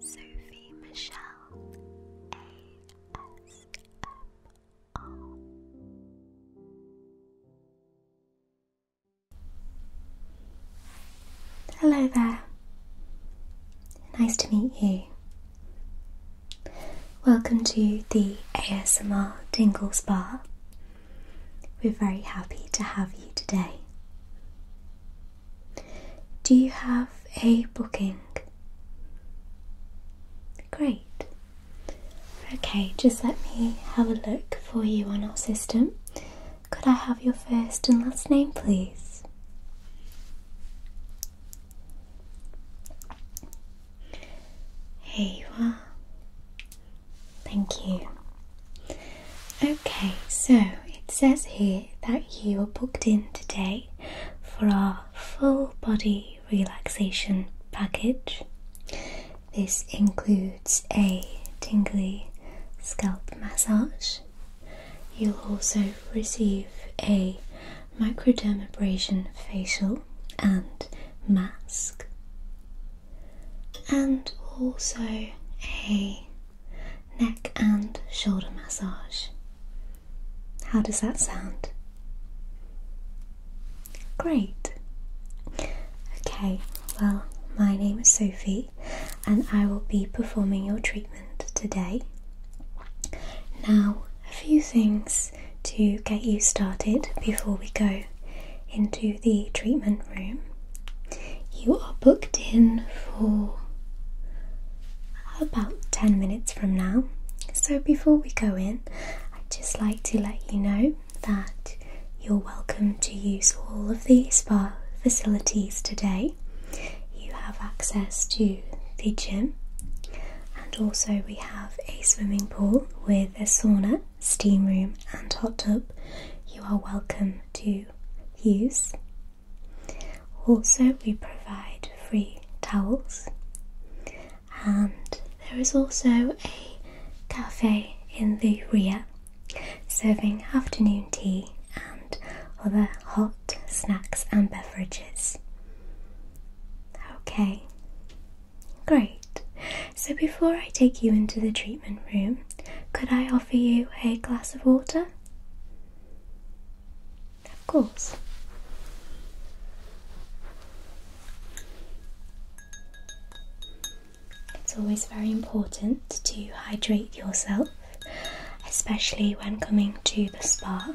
Sophie Michelle ASMR. Hello there. Nice to meet you. Welcome to the ASMR Dingle Spa. We're very happy to have you today. Do you have a booking? Great. Okay, just let me have a look for you on our system. Could I have your first and last name, please? Here you Thank you. Okay, so it says here that you are booked in today for our full body relaxation package. This includes a tingly scalp massage. You'll also receive a microdermabrasion facial and mask, and also a neck and shoulder massage. How does that sound? Great. Okay, well, my name is Sophie and I will be performing your treatment today. Now, a few things to get you started before we go into the treatment room. You are booked in for about 10 minutes from now. So before we go in, I'd just like to let you know that you're welcome to use all of the spa facilities today. You have access to the gym, and also we have a swimming pool with a sauna, steam room, and hot tub. You are welcome to use. Also, we provide free towels, and there is also a cafe in the rear serving afternoon tea and other hot snacks and beverages. Okay, great. So, before I take you into the treatment room, could I offer you a glass of water? Of course. It's always very important to hydrate yourself, especially when coming to the spa.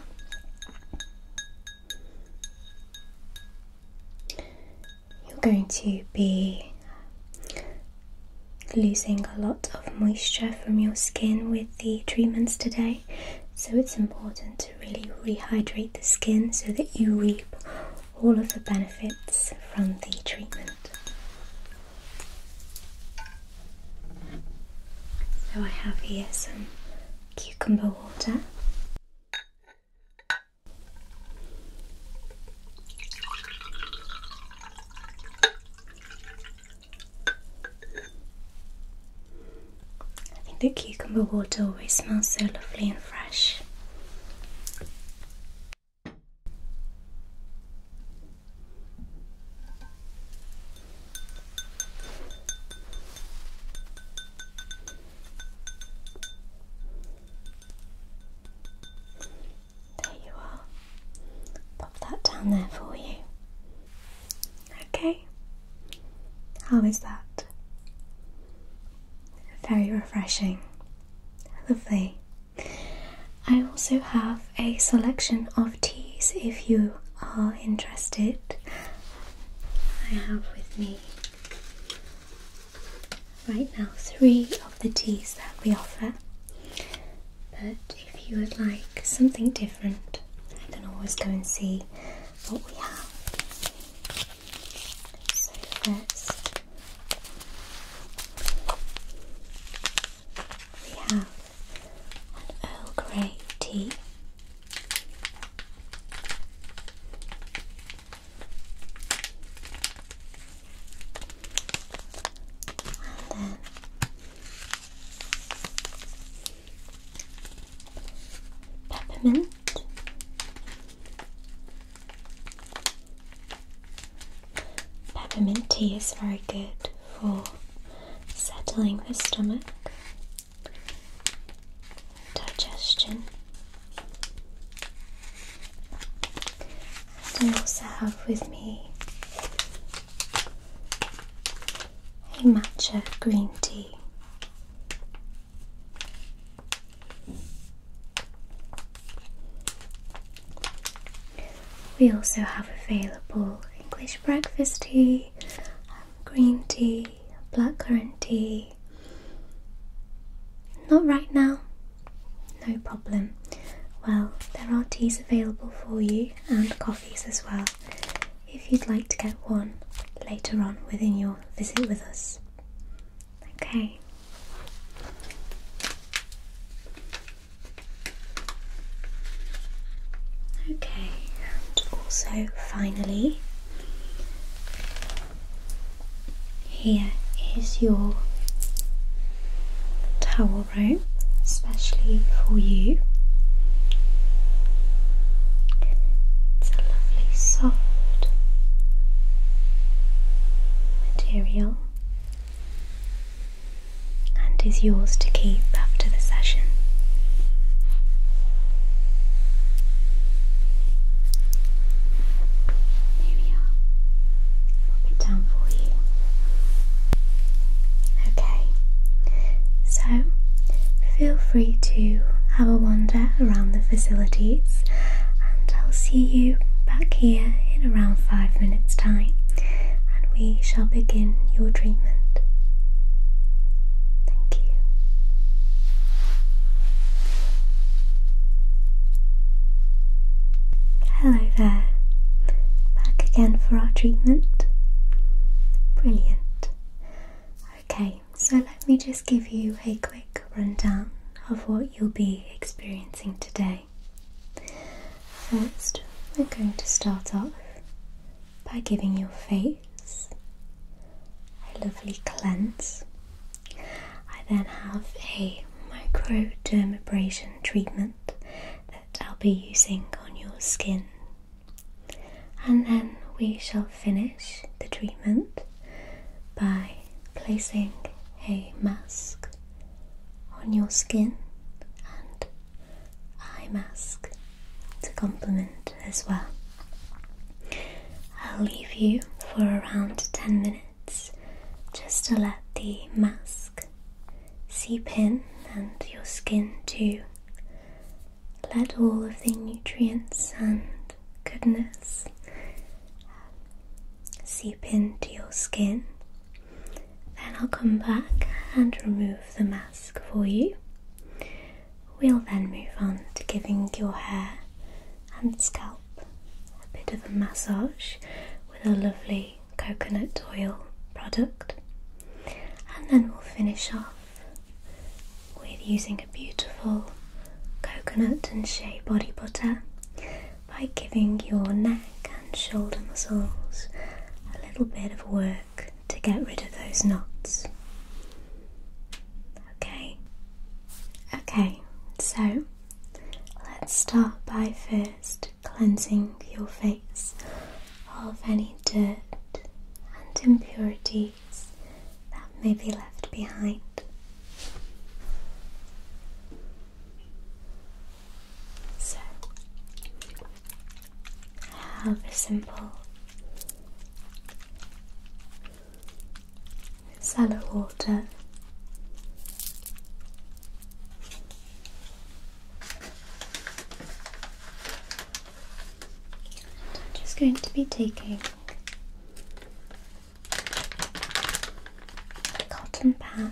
You're going to be losing a lot of moisture from your skin with the treatments today. So it's important to really rehydrate the skin so that you reap all of the benefits from the treatment. So I have here some cucumber water. I think the cucumber water always smells so lovely and fresh. There you are. Pop that down there for you. Okay. How is that? Very refreshing. Lovely. I also have a selection of teas if you are interested. I have with me right now three of the teas that we offer. But if you would like something different, I can always go and see what we have. So, first, we have an Earl Grey tea. And then peppermint. Peppermint tea is very good for settling the stomach, digestion, and I also have with me a matcha green tea. We also have available English breakfast tea, green tea, blackcurrant tea. Not right now, no problem. Well, there are teas available for you and coffee. These as well if you'd like to get one later on within your visit with us. Okay. Okay, and also finally, here is your towel room, especially for you. It's a lovely soft material and is yours to keep after the session. Here we are. Pop it down for you. Okay, so feel free to have a wander around the facilities, and I'll see you back here in around five minutes' time, and we shall begin your treatment. Thank you. Hello there, back again for our treatment. Brilliant. Okay, so let me just give you a quick rundown of what you'll be experiencing today. First, we're going to start off by giving your face a lovely cleanse. I then have a microdermabrasion treatment I'll be using on your skin. And then we shall finish the treatment by placing a mask on your skin and eye mask to complement as well. I'll leave you for around 10 minutes just to let the mask Seep in, and your skin too. Let all of the nutrients and goodness um, seep into your skin. Then I'll come back and remove the mask for you. We'll then move on to giving your hair and scalp a bit of a massage with a lovely coconut oil product, and then we'll finish off with using a beautiful coconut and shea body butter by giving your neck and shoulder muscles a little bit of work to get rid of those knots. Okay, okay, so let's start by first cleansing your face of any dirt and impurities that may be left behind. So, I have a simple cellar water. I'm just going to be taking a cotton pad.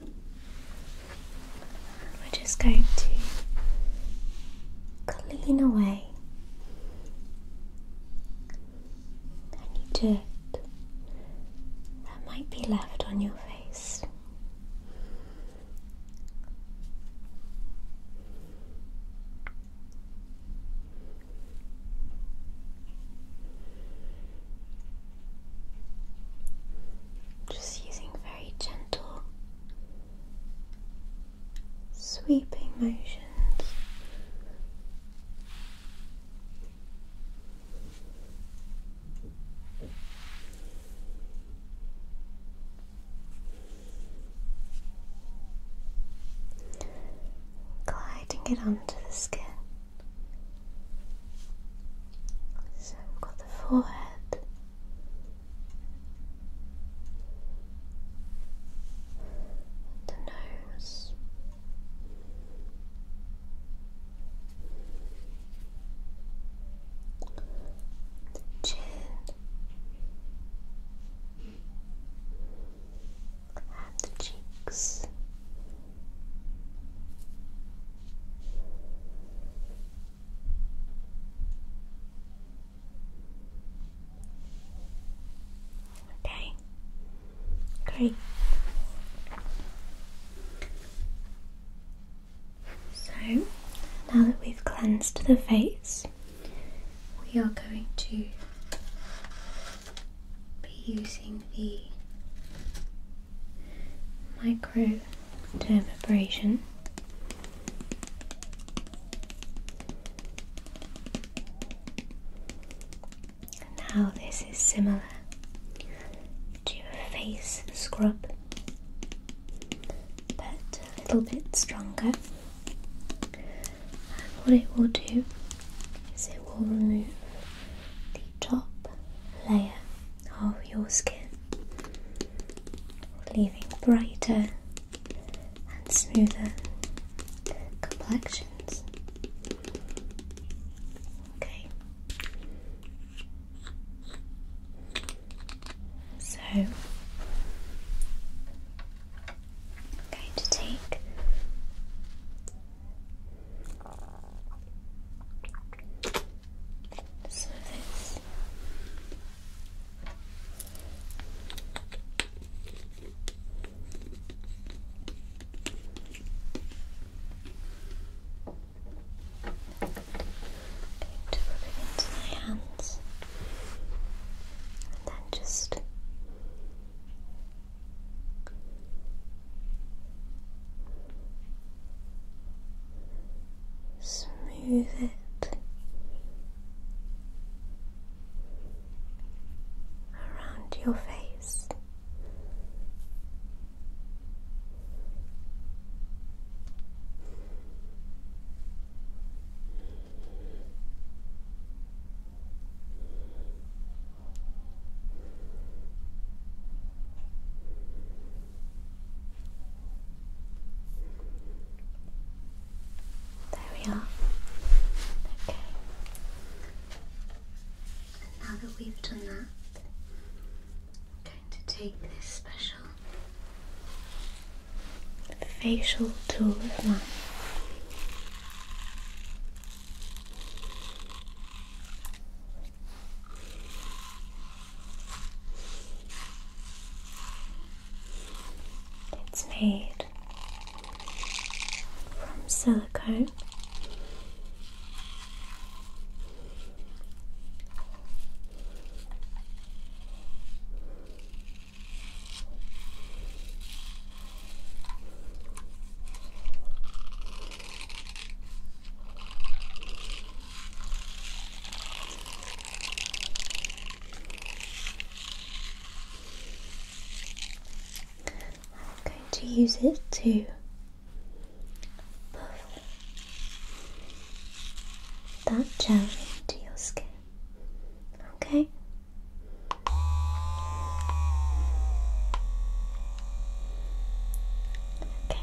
We're just going to clean away any dirt that might be left on your face. Just using very gentle, sweeping motions. Gliding it onto the skin. So got the forehead, the nose. The chin and the cheeks, Okay, great. So now that we've cleansed the face, we are going to be using the micro to evaporation. Now this is similar to a face scrub, but a little bit stronger. And what it will do is it will remove the top layer of your skin, leaving brighter and smoother complexions. Okay. So I'm going to take so this into my hands and then just smooth it around your face. There we are. Okay. now that we've done that, I'm going to take this special facial tool of mine. It's made from silicone. I'm going to use it to puff that gel into your skin. Okay. Okay.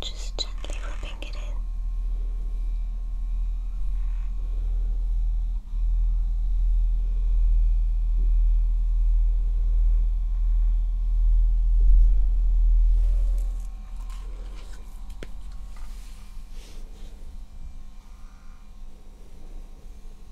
Just gently rubbing it in.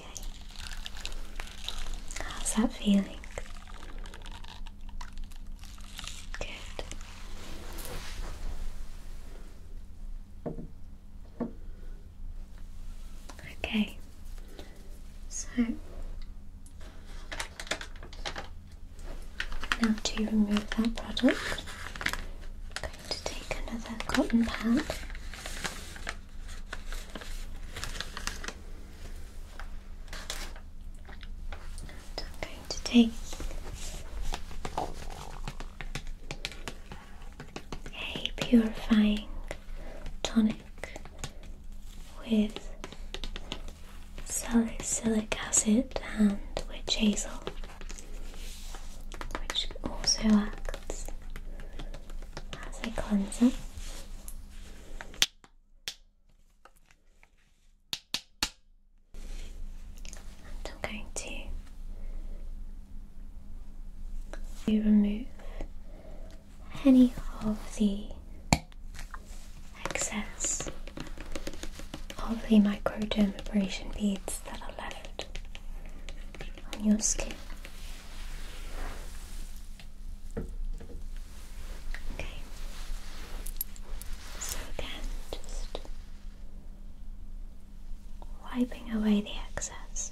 Okay. How's that feeling? Good. Okay. So now to remove that product, I'm going to take another cotton pad I'm going to take a purifying tonic with salicylic acid and witch hazel, which also acts as a cleanser. And I'm going to you remove any of the excess of the microdermabrasion beads that are left on your skin. Okay. So again, just wiping away the excess.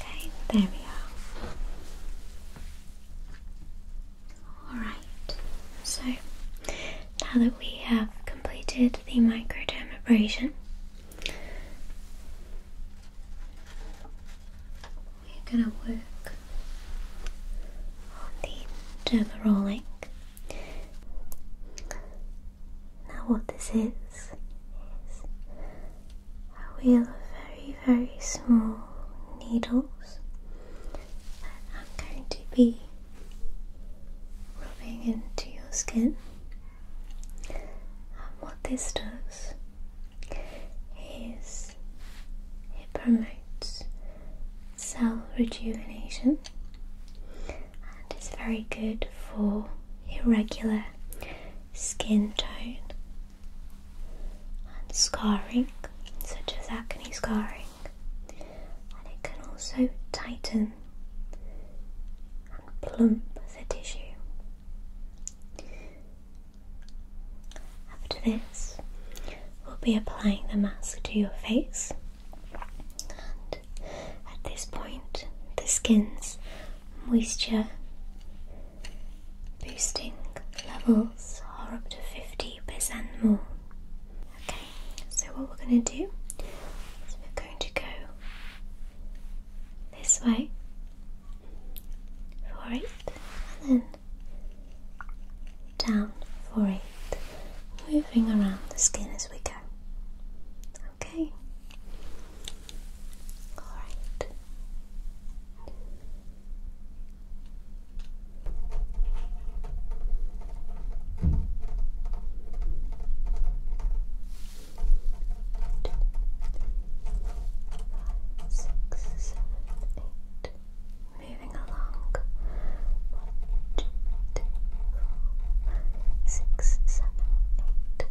Okay, there we are. Alright, so now that we have completed the microdermabrasion, we're going to work on the dermarolling. Now, what this is is a wheel of very, very small needles that are going to be rubbing into your skin. And what this does is it promotes cell rejuvenation and it's very good for irregular skin tone and scarring, such as acne scarring, and it can also tighten and plump the tissue. After this, we'll be applying the mask to your face, and at this point, the skin's moisture boosting levels are up to 50% more. Okay, so what we're going to do is we're going to go this way for it and then down for it, moving around the skin as we go. Okay. All right. Moving along. One, two, three, four, five, six, seven, eight. Nine,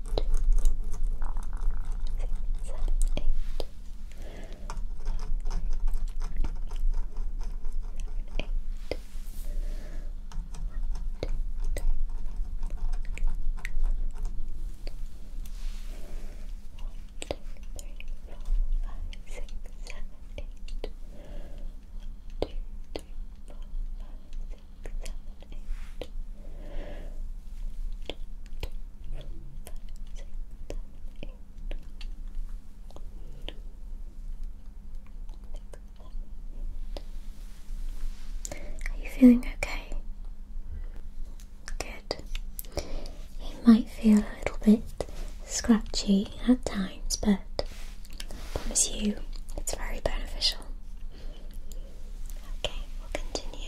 Seven, eight. One, two, three, four, five, six, seven, are you feeling okay? Good. It might feel a little bit scratchy at times, but I promise you it's very beneficial. Okay, we'll continue.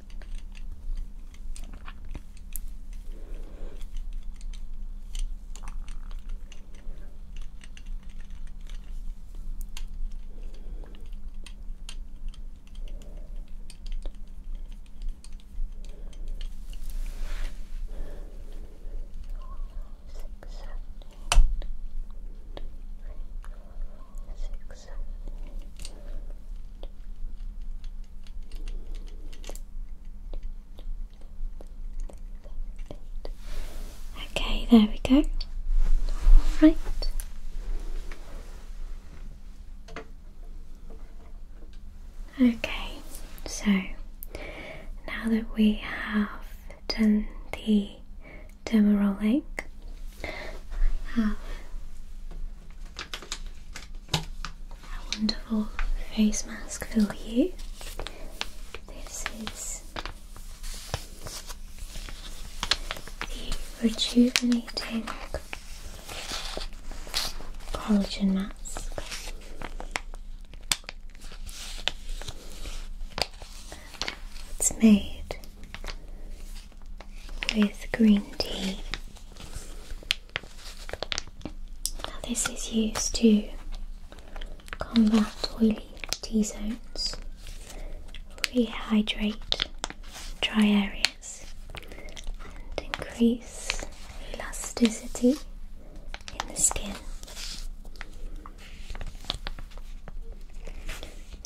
Six, seven, eight, nine, nine, nine, six, Okay, there we go. Right. Okay, so now that we have done the dermal rolling, I have a wonderful face mask for you. This is the rejuvenating collagen mask. It's made with green tea. Now, this is used to combat oily T zones, rehydrate dry areas, and increase elasticity in the skin.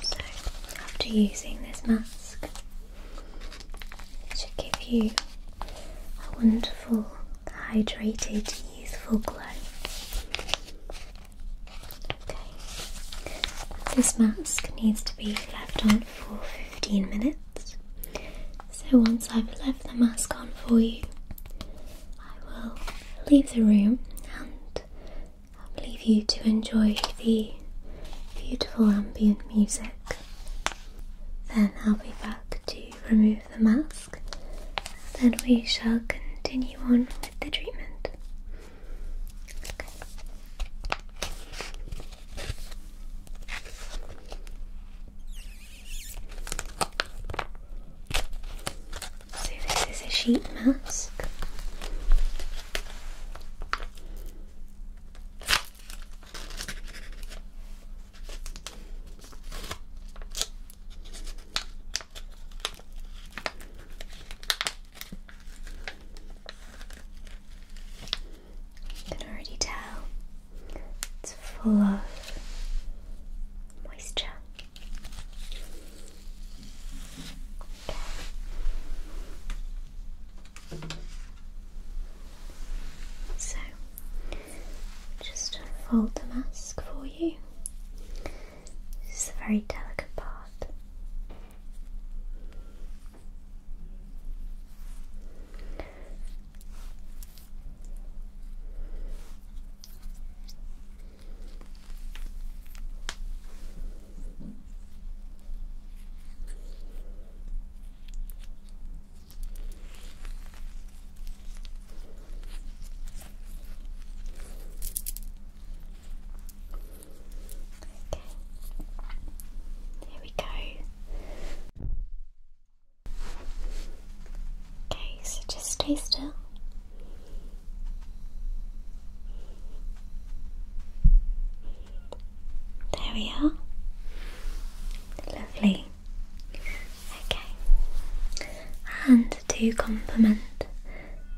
So, after using this mask, to give you a wonderful, hydrated, youthful glow. Okay. This mask needs to be left on for 15 minutes. So once I've left the mask on for you, I will leave the room and I'll leave you to enjoy the beautiful ambient music then I'll be back to remove the mask. Then we shall continue on with the treatment. So this is a sheet mask. You can already tell it's full of moisture. Okay. So, just unfold the mask for you. This is a very delicate part. There we go. Okay, so just stay still. There we are. Lovely. Okay. And to complement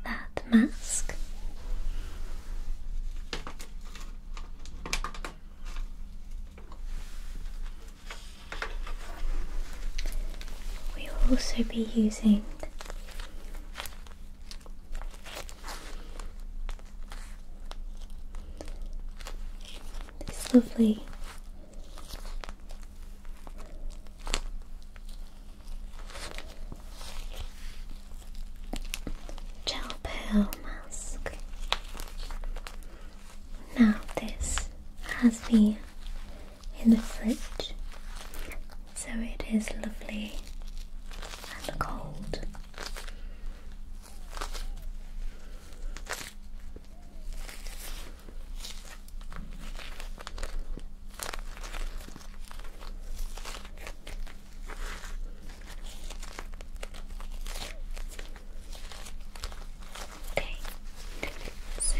that mask, we will also be using it's lovely. Gel pearl mask. Now this has been in the fridge, so it is lovely and cold. Okay, so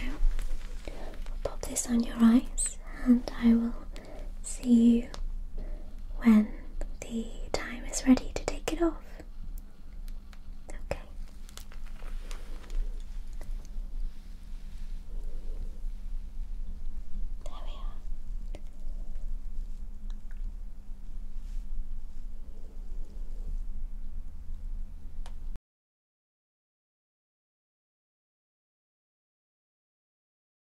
pop this on your eyes, and I will see you when the time is ready to take it off. Okay. There we are.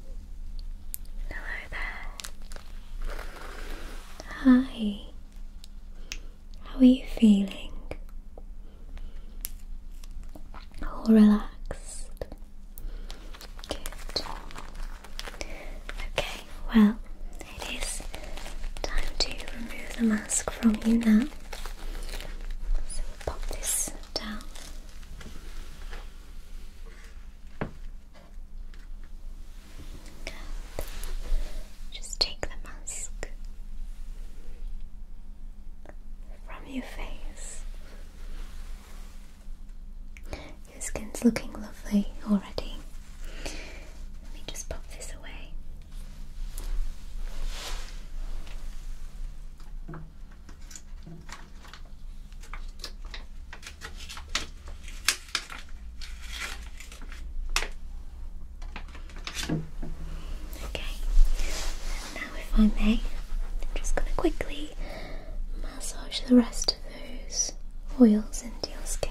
Hello there. Hi. How are you feeling? All relaxed. Good. Okay, well, it is time to remove the mask from you now. So pop this down. Just take the mask from your face. Your skin's looking lovely already. Let me just pop this away. Okay, now if I may, I'm just going to quickly massage the rest of those oils into your skin.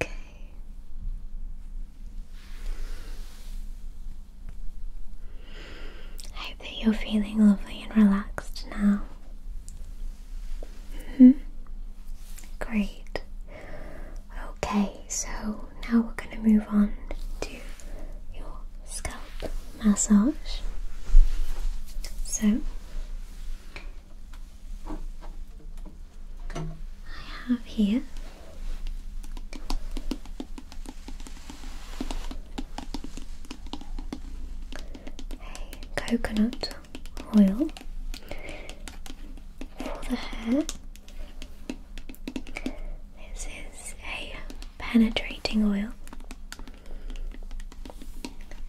Okay. I hope that you're feeling lovely and relaxed now. Mm-hmm. Great. Okay, so now we're going to move on to your scalp massage. So I have here a coconut oil for the hair. This is a penetrating oil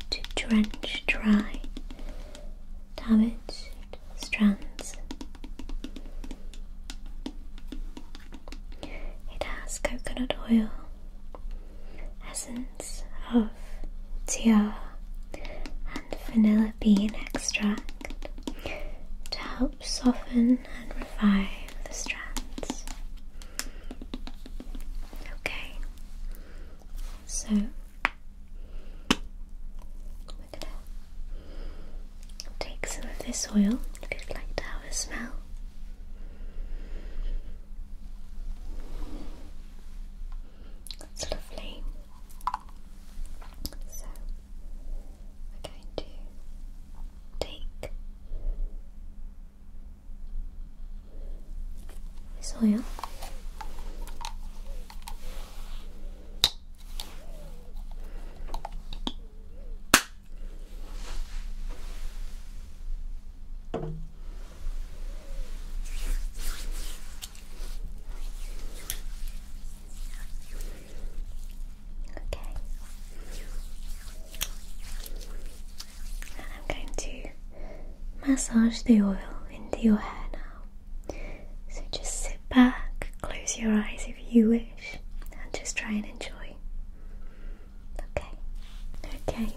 to drench dry damaged strands. It has coconut oil, essence of tea and vanilla bean extract to help soften and revive the strands. Okay, so take some of this oil if you'd like to have a smell. That's lovely. So we're going to take this oil. Okay. I'm going to massage the oil into your hair now. So just sit back, close your eyes if you wish, and just try and enjoy. Okay. Okay.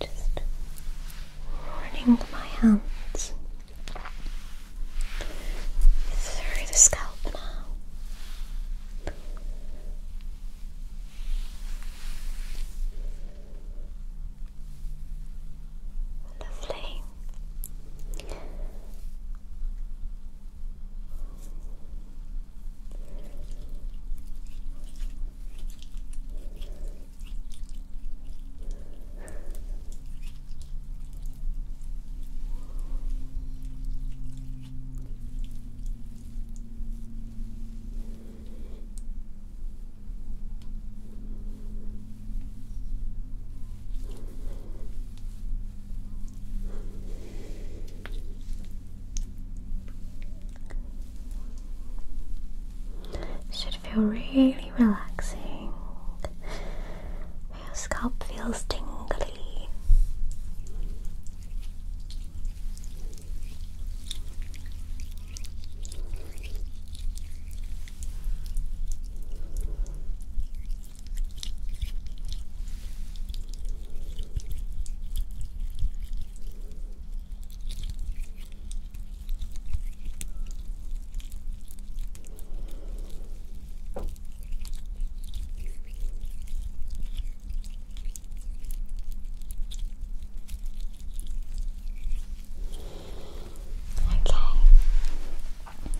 just running my hands through the scalp now. Lovely. Should feel really relaxing. Your scalp feels tingly. Okay.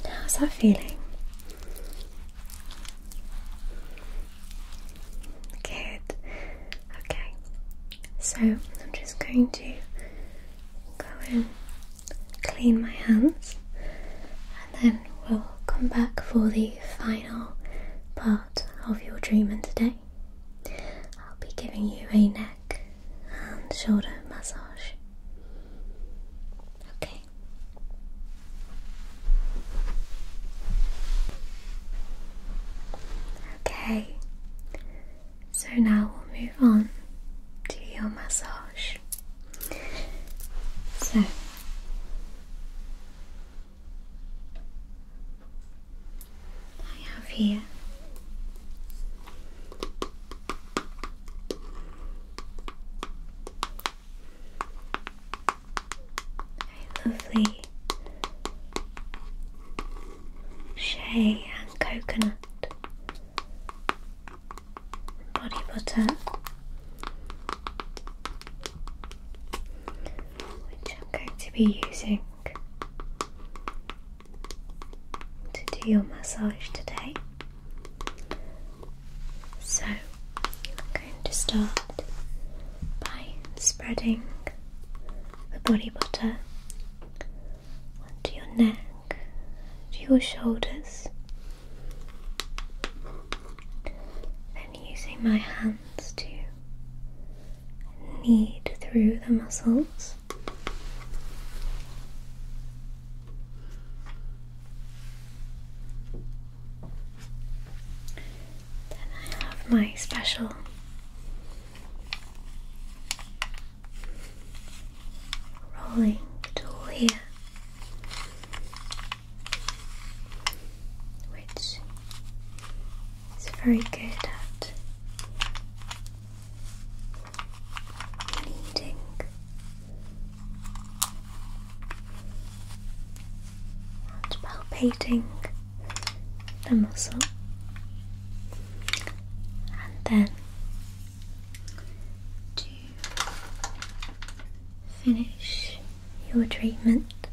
How's that feeling? Good. Okay. So I'm just going to go and clean my hands, and then we'll come back for the final part of your treatment today. I'll be giving you a neck and shoulder massage. Okay. Okay. So now we'll move on to your massage. So I have here lovely shea and coconut body butter which I'm going to be using to do your massage today. So I'm going to start by spreading the body butter onto your neck, to your shoulders. Then using my hands to knead through the muscles. Then I have my special rolling tool here, which is very good at kneading. And palpating the muscle and then to finish your treatment,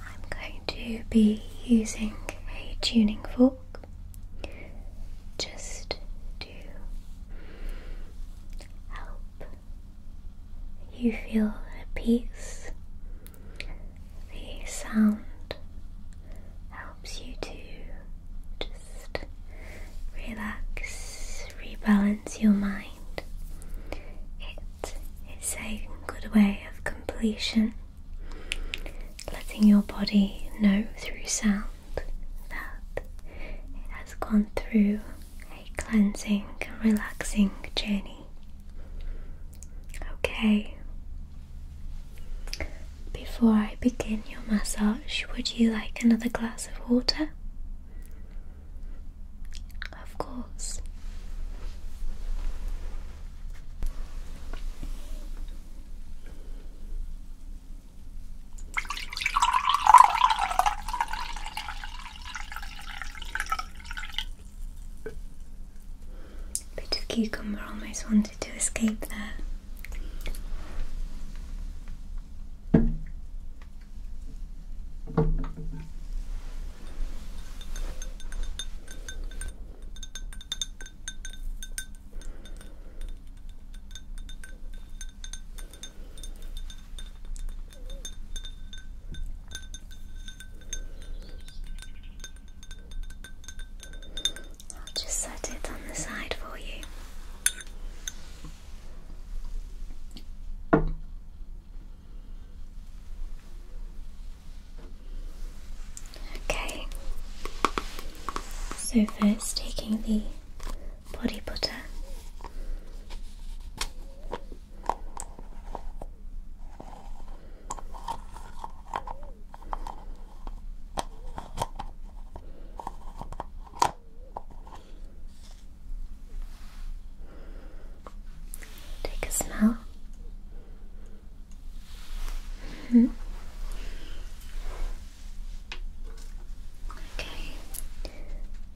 I'm going to be using a tuning fork just to help you feel at peace. The sound of helps you to just relax, rebalance your mind. It is a good way of completion, letting your body know through sound that it has gone through a cleansing relaxing journey. Okay, before I begin your massage, would you like another glass of water? Of course. Bit of cucumber almost wanted to escape there. I'll just set it on the side for you. Okay, so first taking the body butter. Take a smell. -hmm. Okay,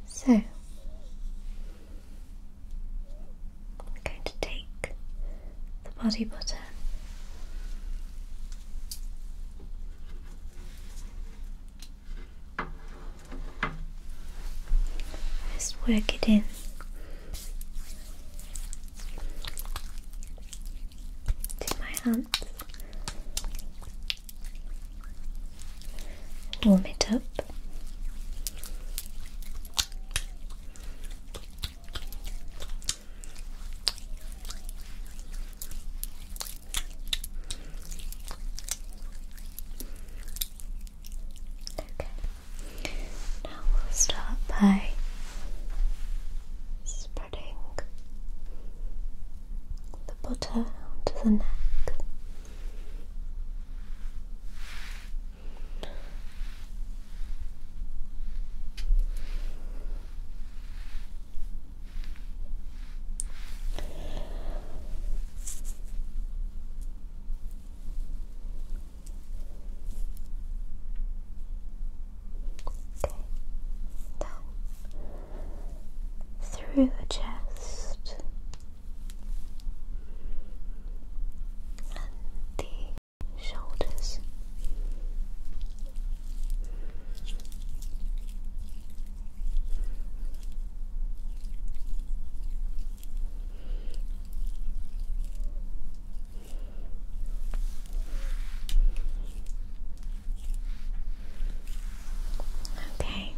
so I'm going to take the body button. Just work it in. To my hands. Warm it up. Okay. Now we'll start by spreading the butter onto the neck through the chest and the shoulders. Okay,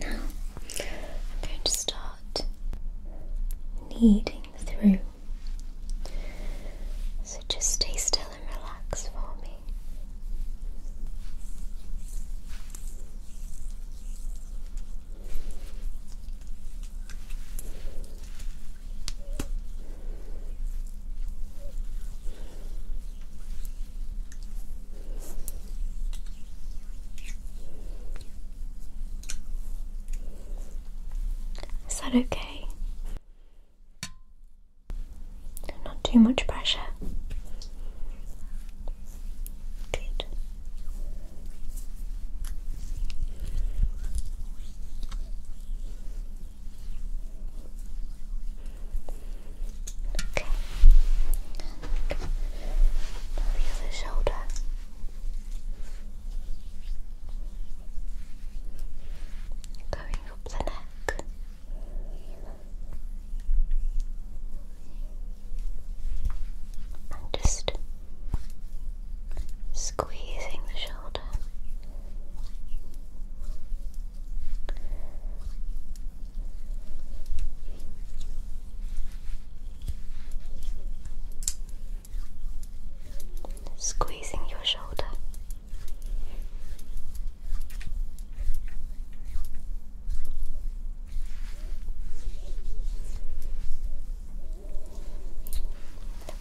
now I'm going to start kneading through. So just stay still and relax for me. Is that okay? Not too much pressure. Good. Okay. And the shoulder. Going up the neck. And just squeezing the shoulder. Squeezing your shoulder.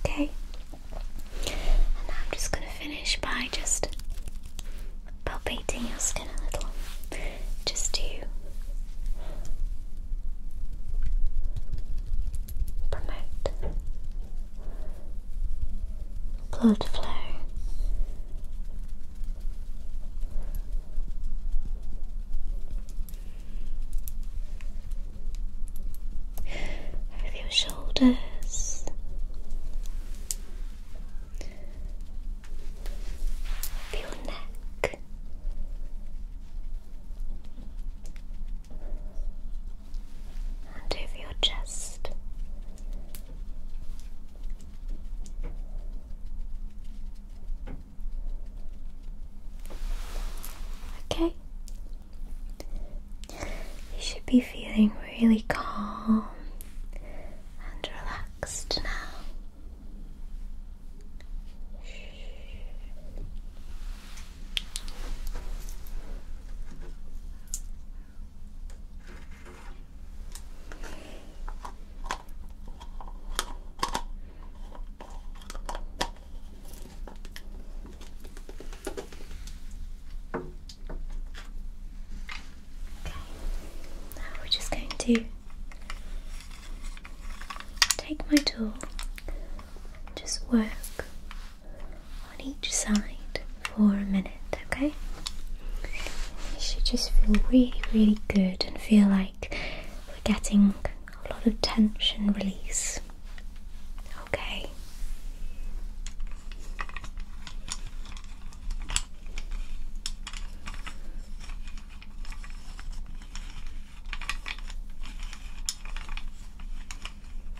Okay, and I'm just going to finish by just palpating your skin a little, just to promote blood flow. Over your shoulders, over your neck, and over your chest. Okay, you should be feeling really calm and relaxed now. Now we're just going to take my tool, just work on each side for a minute, okay? You should just feel really, really good and feel like we're getting a lot of tension release. Okay.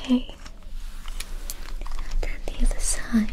Okay, then the other side.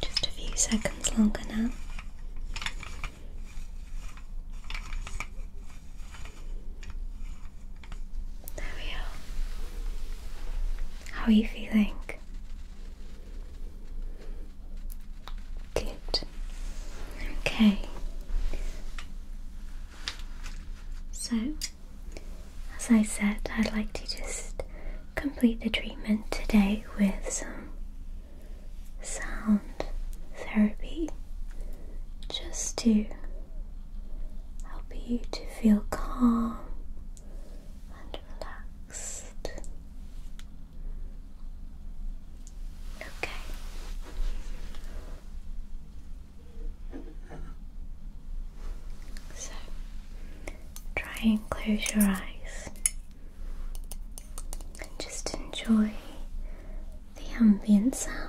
Just a few seconds longer now. There we are. How are you feeling? Good. Okay. So, as I said, I'd like to just complete the treatment today with some sound therapy just to help you to feel calm and relaxed. Okay. So try and close your eyes and just enjoy the ambient sound.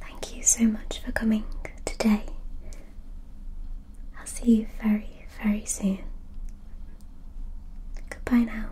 Thank you so much for coming today. I'll see you very, very soon. Goodbye now.